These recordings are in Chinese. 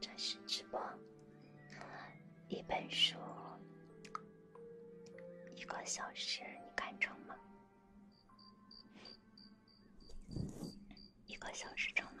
正式直播，一本书，一个小时，你看成吗？一个小时成吗？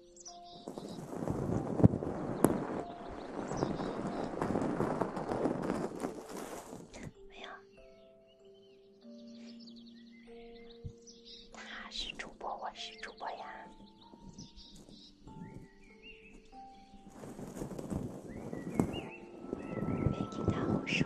没有，他是主播，我是主播呀，别跟他胡说。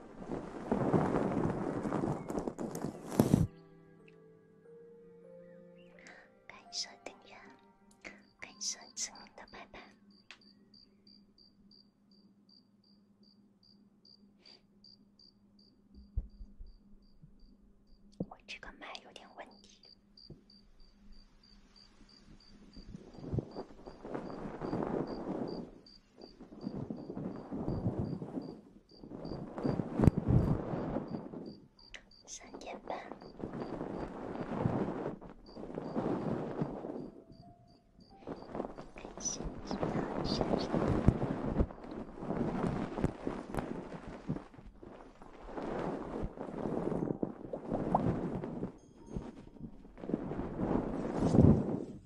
感谢订阅，感谢晨晨的陪伴。我这个麦有点问题。三点半。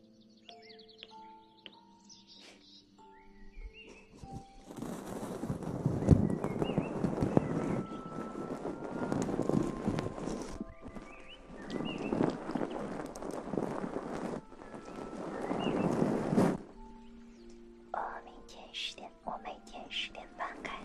我明天十点，我每天十点半开。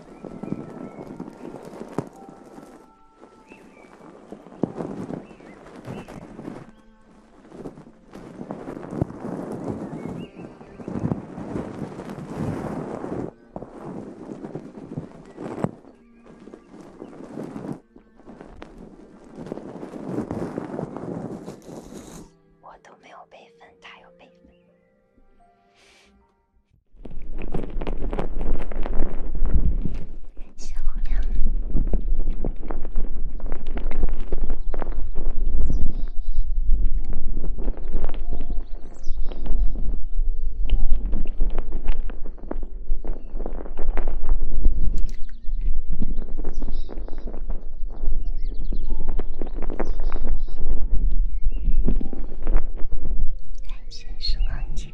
我都没有备份，他有备份。小姑娘，男生是梦境。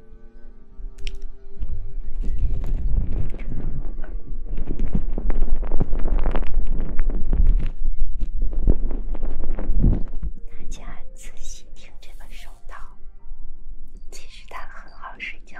大家仔细听这个手套，其实它很好睡觉。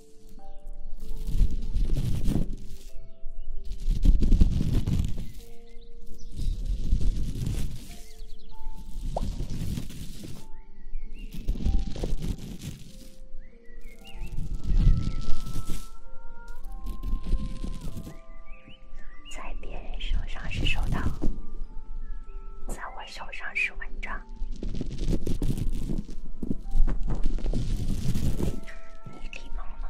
在别人手上是手套，在我。小常是文章，你礼貌吗？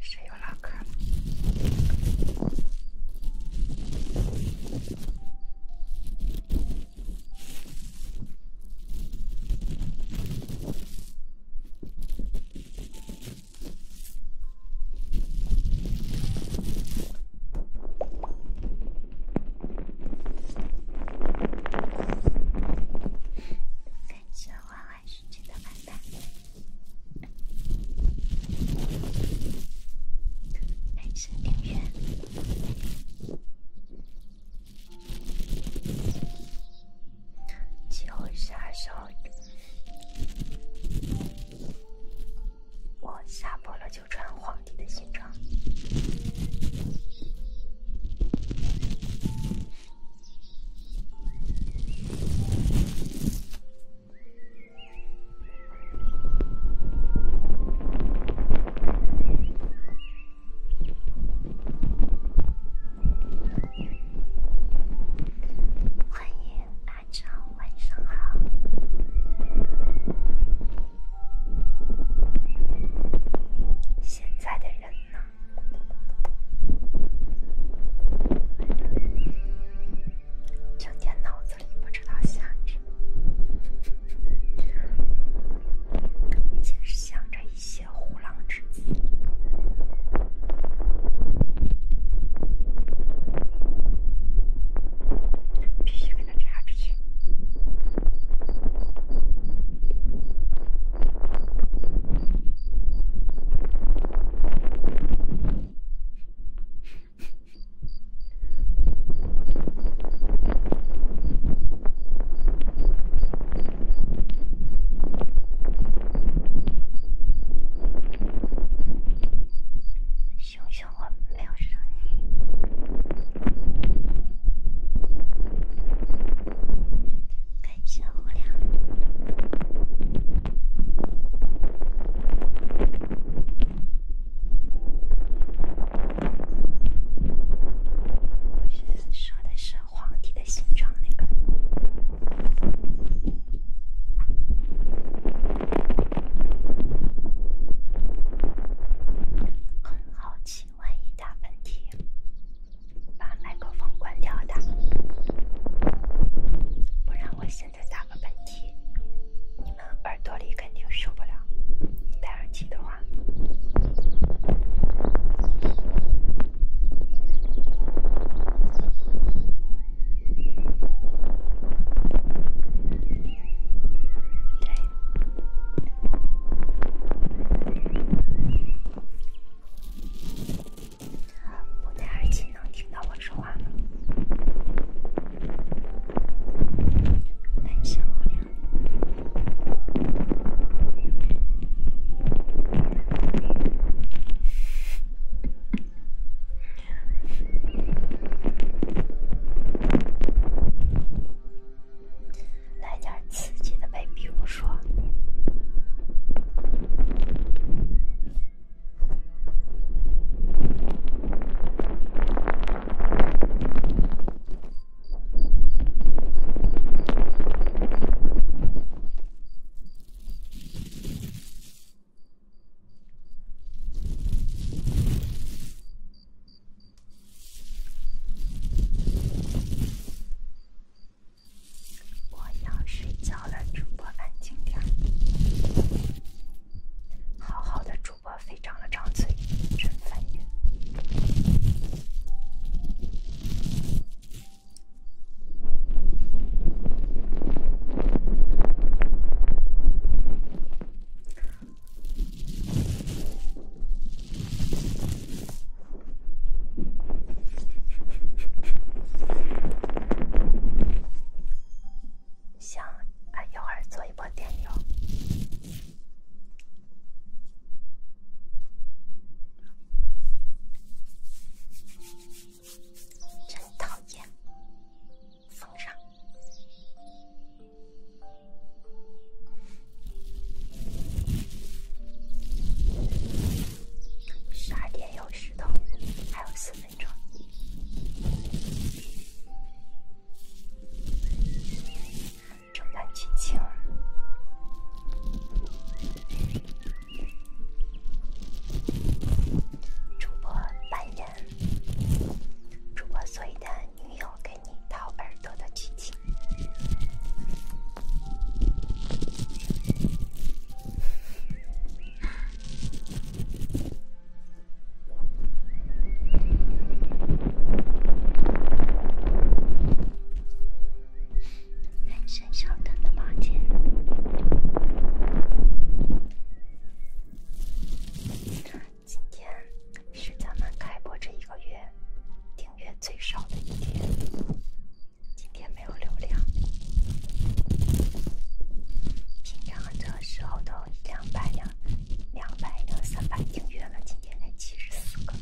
谁又唠嗑我是真的烦烦，男神女神，叫我傻少女。我下播了就穿皇帝的新装。欢迎，大家晚上好。现在的人呢？整天脑子里不知道想着，就是想着一些虎狼之子，必须给他查出去。熊熊，我没有声音。小狐狸，我现说的是皇帝的形状那个，很好奇。万一大喷嚏，把麦克风关掉的，不然我现在打个喷嚏，你们耳朵里肯定受不了。戴耳机的话，对。我戴耳机能听到我说话吗？单身无聊。来点刺激的呗，比如说。我要睡觉了，主播安静点儿。好好的主播，非常的吵嘴，真烦人。行，啊一会儿做一波电流。真讨厌，封上。十二点有系统，还有四分钟。正南剧情，主播扮演主播所以的女友，给你掏耳朵的剧情。先生，稍等，抱歉。今天是咱们开播这一个月。月最少的一天，今天没有流量，平常这时候都一两百两两百两三百订阅了，今天才七十四个，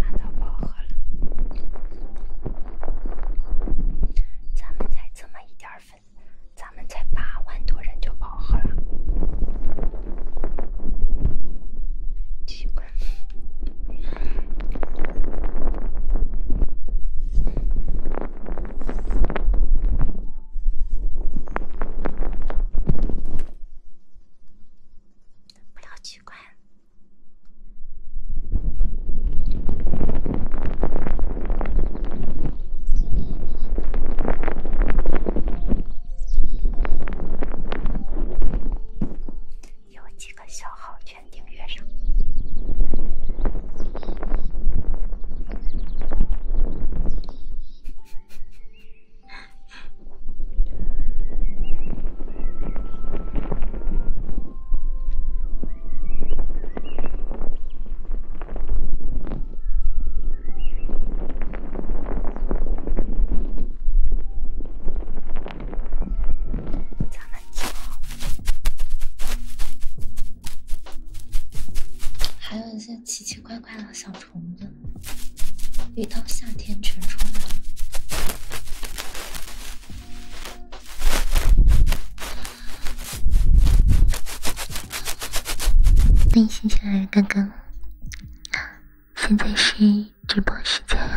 难道不好？够了，咱们才这么一点粉，咱们才八万多人就饱和了，奇怪，不要奇怪。有几个小号全订阅上。还有一些奇奇怪怪的小虫子。一到夏天全出来了。欢迎新进来，刚刚。现在是直播时间哟。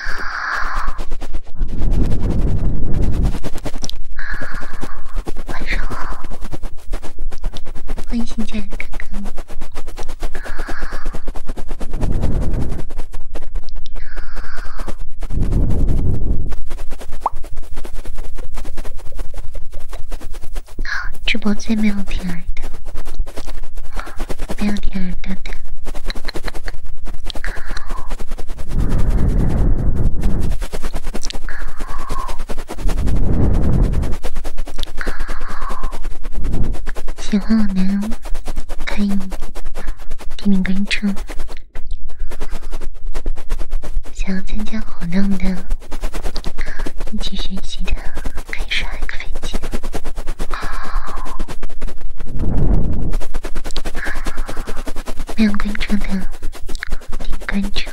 啊，晚上好，欢迎新进来的哥哥。好，直播最没有听来的。没有其他的。喜欢我们，可以点点关注，想要参加活动的一起学习的。可以杀一个飞机。面滚成的，底滚成。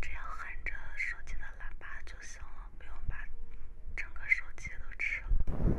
只要喊着手机的喇叭就行了，不用把整个手机都吃了。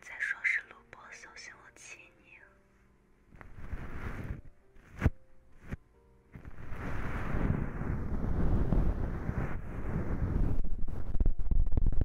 再说是录播，小心我气你。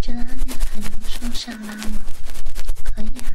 这拉链还能双向拉吗？可以啊。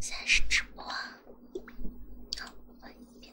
现在是直播，好，慢一点。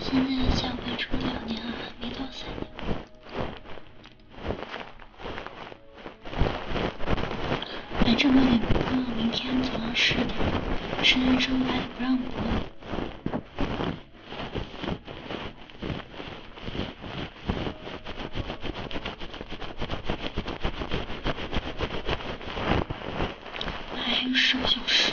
现在下回出两年了，还没到三年。反正我也不饿，明天早上十点，实习生班也不让我还有十个小时。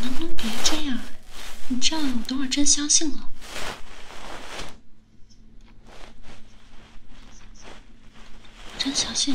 能不能别这样？你这样，我等会儿真相信了，真相信。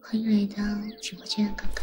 欢迎来到直播间，哥哥。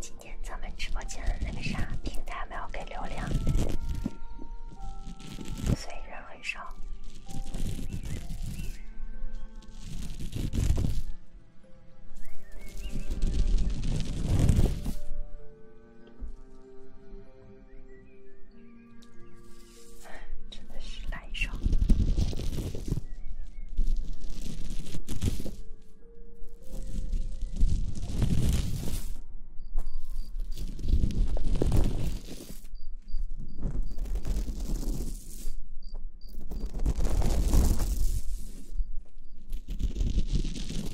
今天咱们直播间的那个啥平台没有给流量，所以然后。来一真的是来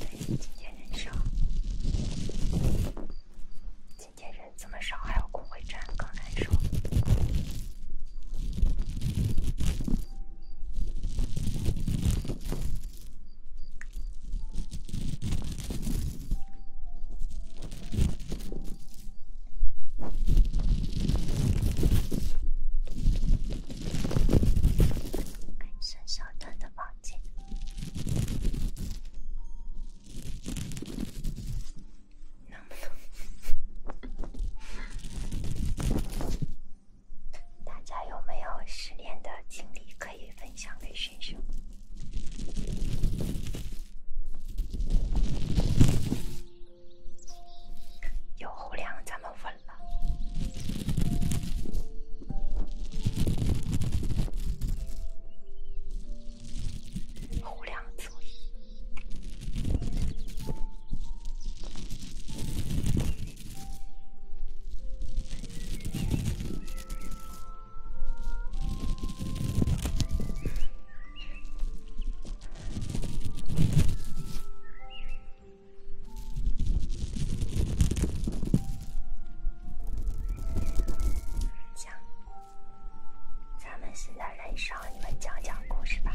担心今天人少，今天人这么少，还要工会战，更难受。伸 大家有没有失恋的经历？可以分享给选手，有后梁咱们稳了，后梁足以。讲，咱们现在人少，你们讲讲故事吧。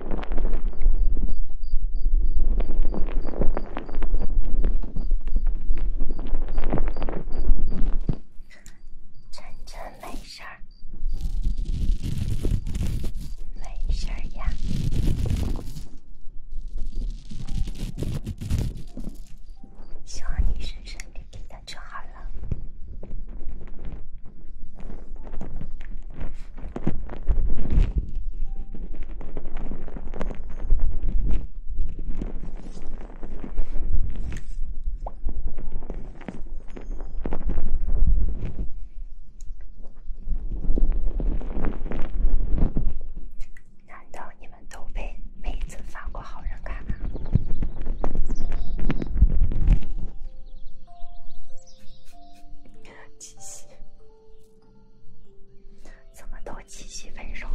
晨晨没事儿，没事儿呀，希望你神神灵灵的就好了。难道你们都被妹子发过好人卡吗？气息。怎么都七夕分手？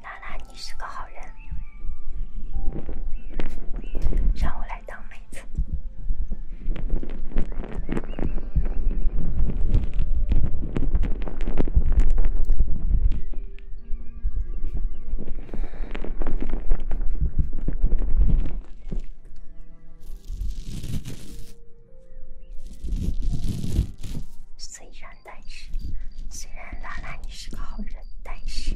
娜娜，你是个好人，让我来当妹子。虽然，但是，虽然拉拉你是个好人，但是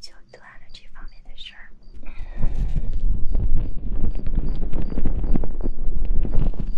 就断了这方面的事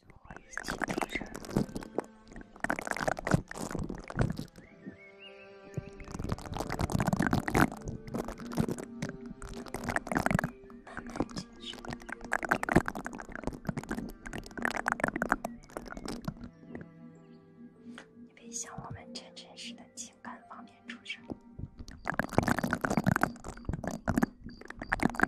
慢慢接受。你别情感方面出声。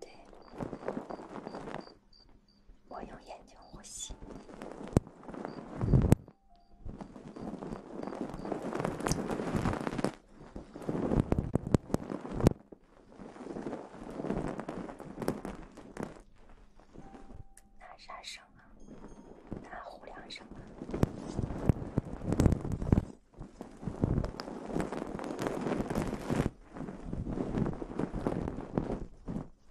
对，我用眼睛呼吸。哪啥省啊？哪胡梁省